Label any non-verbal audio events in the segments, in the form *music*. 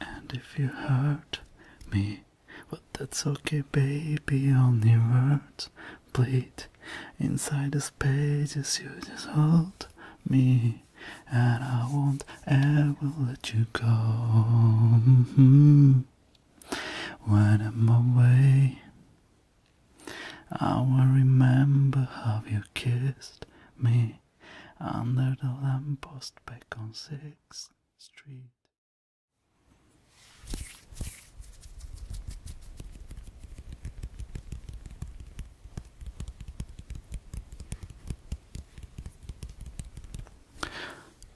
And if you hurt me, but that's okay, baby. Only words bleed inside the spaces You just hold me, and I won't ever let you go. Mm-hmm. When I'm away, I will remember how you kissed me under the lamppost back on 6th Street.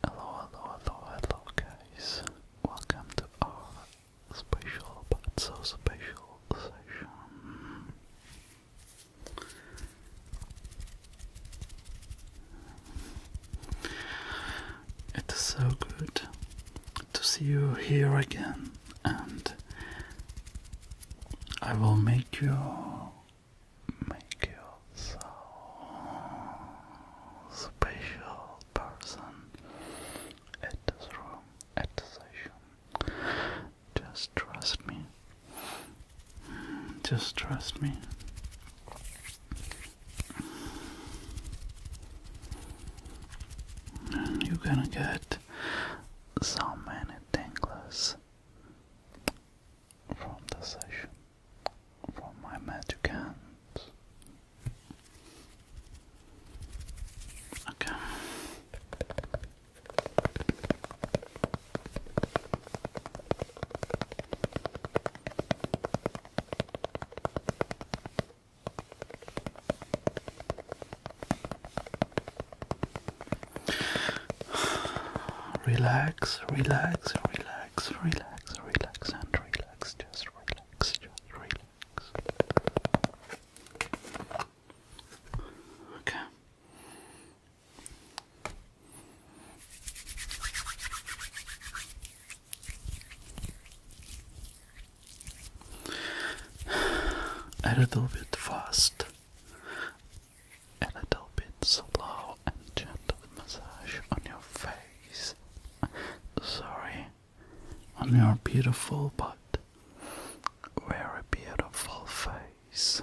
Hello, hello, hello, hello, guys. Welcome to our special but so special session. It is so good to see you here again, and I will make you make you so special person at this room, at the session. Just trust me. Just trust me. you're gonna get so many tingles from the session from my magic hands. Okay. *sighs* Relax, relax, relax, relax relax, relax, and relax. Just relax, just relax. Okay. *sighs* A little bit fast. A little bit slow and gentle massage on your face. Sorry, on your beautiful but very beautiful face.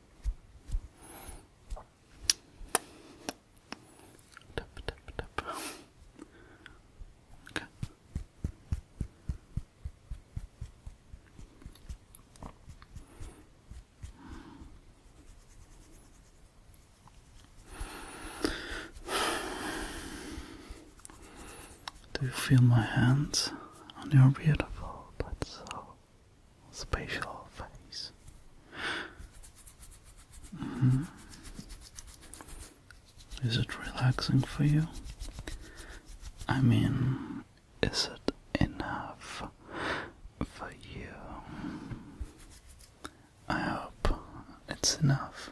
Do you feel my hands on your beautiful but so Spatial face. Mm-hmm. Is it relaxing for you? I mean, is it enough for you? I hope it's enough.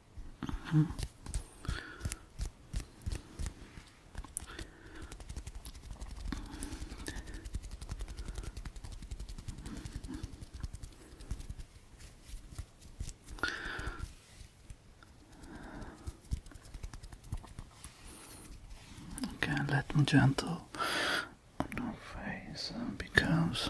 Mm -hmm. Okay, let me gentle your face uh, becomes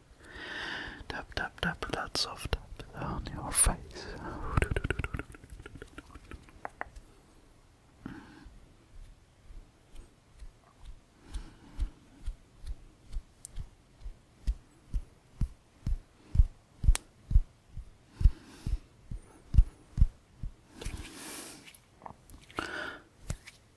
good. Tap, tap, tap that soft tap on your face.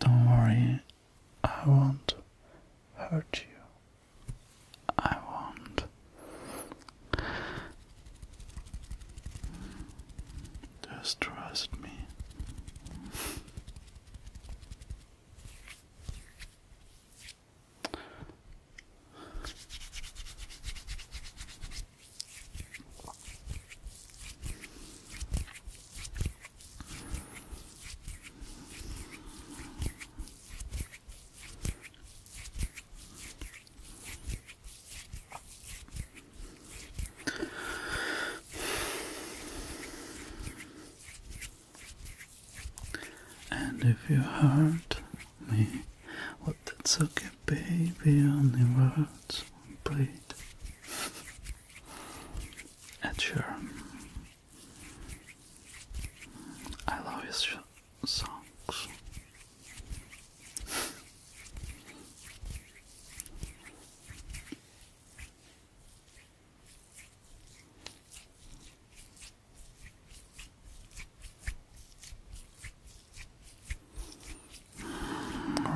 Don't worry, I won't hurt you. I won't. Just trust me. And if you heard me what that sucker baby on the words we played at sure. I love his songs.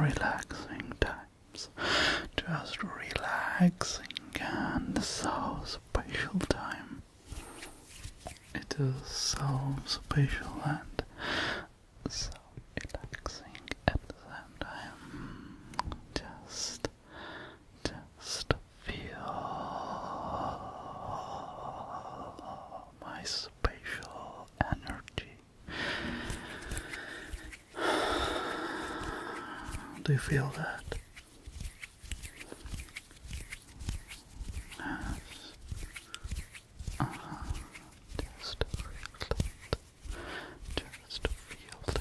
Relaxing times, just relaxing and so special time. It is so special and so relaxing at the same time. Just, just feel my spatial energy. *sighs* Do you feel that? Yes. Uh-huh. Just feel that. Just feel that.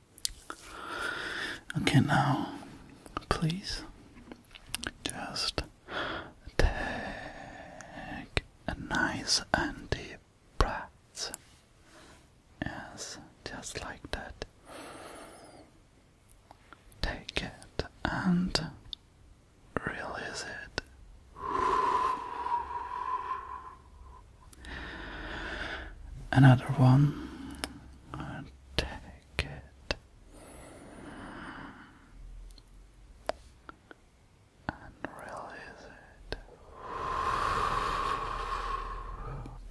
Okay, now please just take a nice and deep breath. Yes, just like that. Take it and release it. Another one take it and release it.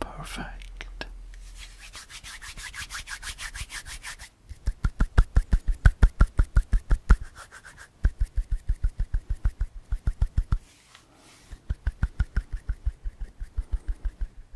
Perfect.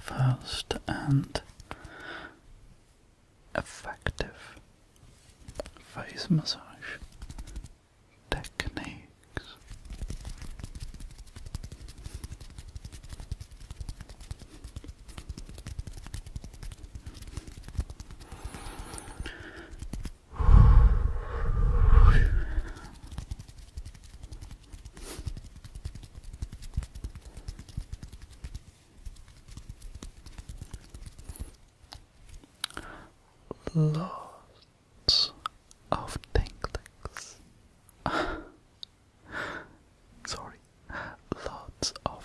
Fast and effective face massage techniques. Lots of tingles. *laughs* Sorry, lots of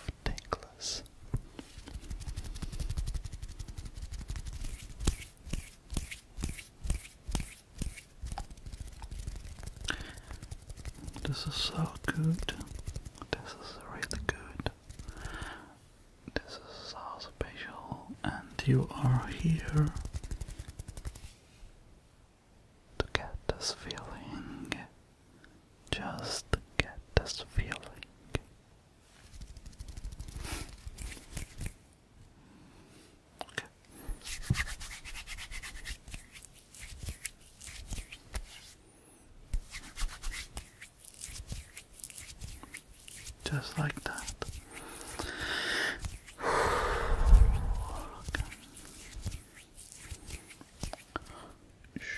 this is so good. This is really good. This is so special, and you are here to get this feeling. Just get this feeling. Just like that. *sighs* Shh.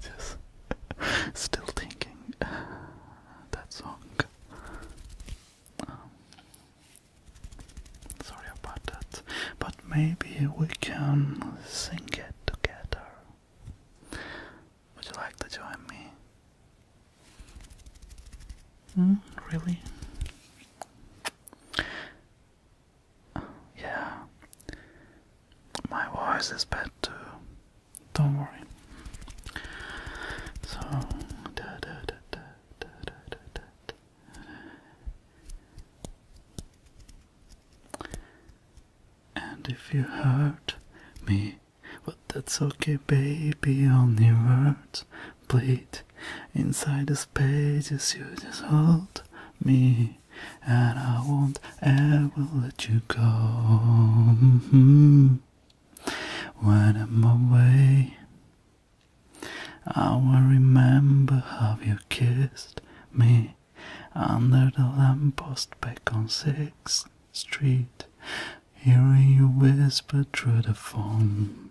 just still thinking that song. Um, sorry about that, but maybe we can sing it together. Would you like to join me? Mm, really? Yeah. My voice is bad too. Don't worry. So. And if you hurt me, well, that's okay, baby. Only words bleed Inside these pages you just hold me and I won't ever let you go mm-hmm. When I'm away I will remember how you kissed me under the lamppost back on 6th Street Hearing you whisper through the phone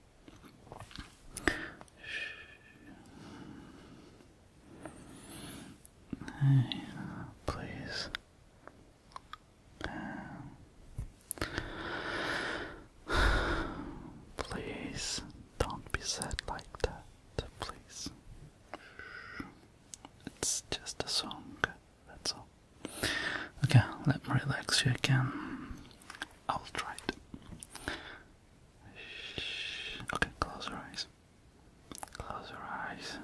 Hey, please. Please don't be sad like that, please. It's just a song, that's all. Okay, let me relax you again. I'll try it. Okay, close your eyes. Close your eyes.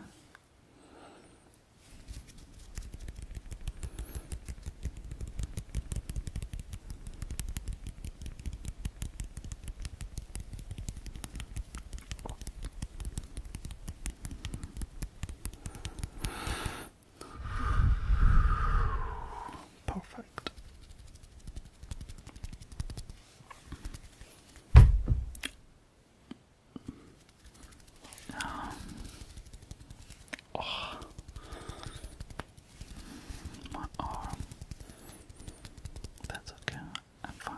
Perfect. Um, oh, my arm. That's okay. I'm fine.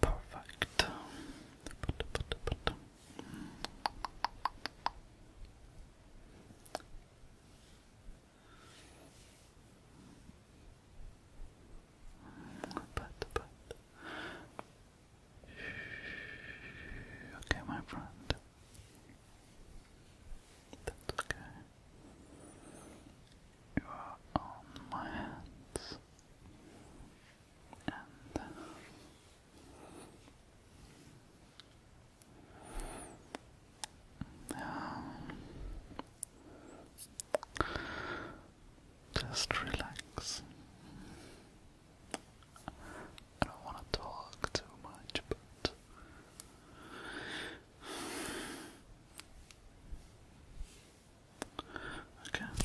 Perfect. But, but. Okay, my friend. That's okay. You are on my hands. And now, um, just relax. I don't want to talk too much, but okay.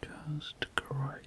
Great. Just great.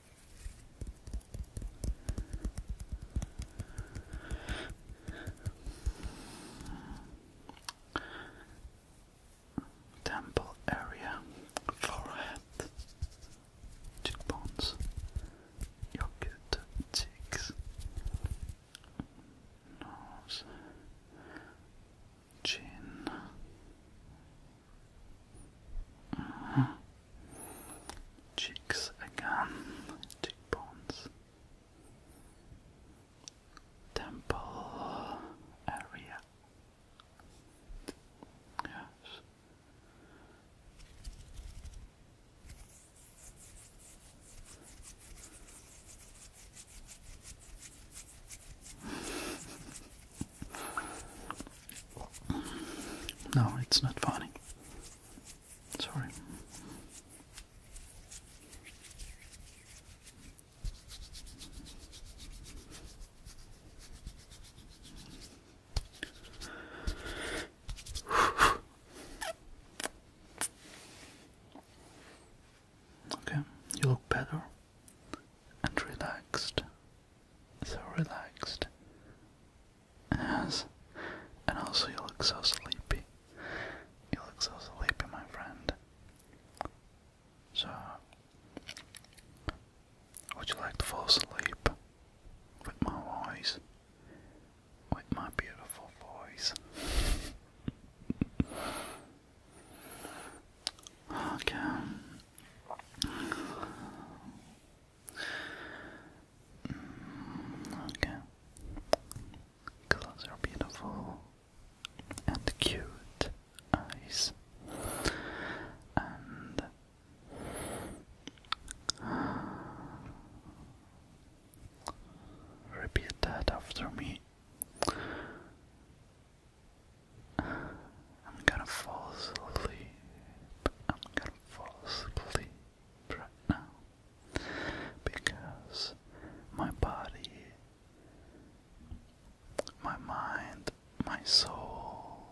Temple area, forehead, cheekbones, your good cheeks, nose, chin, uh, cheeks again, cheekbones, temple area. Yes. No, it's not funny. Sorry. Okay, you look better and relaxed so relaxed. Yes, and also you look so sleepy. You look so sleepy, my friend. So, would you like to fall asleep with my voice? With my beautiful voice. *laughs* okay, Okay. Close your beautiful and cute eyes. And repeat that after me. I'm gonna fall asleep. I'm gonna fall asleep right now because my body, my mind, my soul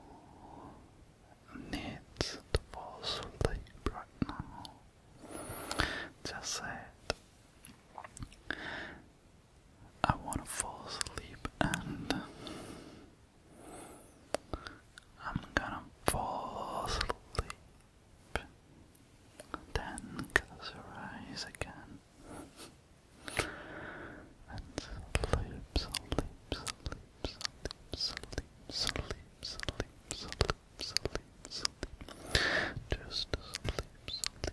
needs to fall asleep right now. Just say it. I want to fall asleep and I'm gonna fall asleep. Then close your eyes again. And sleep, sleep, sleep, sleep, sleep, sleep, sleep, sleep, sleep, sleep. Just sleep, sleep,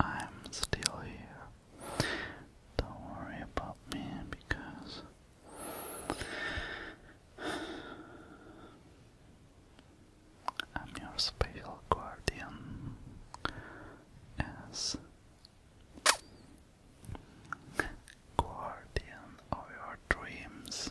I'm still here. Don't worry about me because I'm your special guardian. As guardian of your dreams.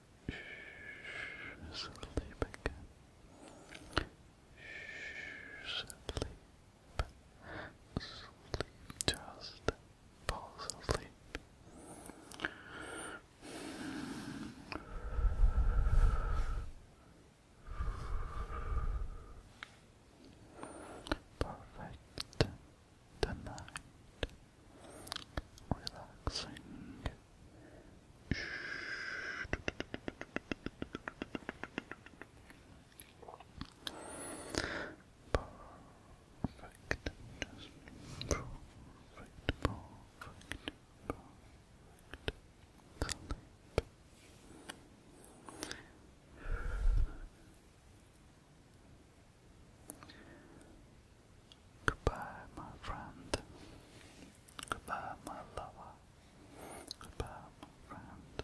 Sleep Sleep. Just fall asleep. Perfect. Tonight. Relaxing. Perfect. Just perfect. Perfect. Perfect. Sleep. Sleep. Goodbye, my friend. Goodbye, my lover. Goodbye, my friend.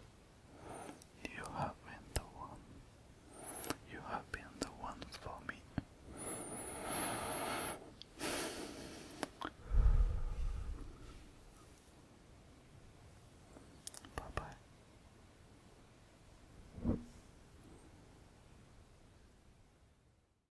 You have been the one. You have been the one for me. Bye bye.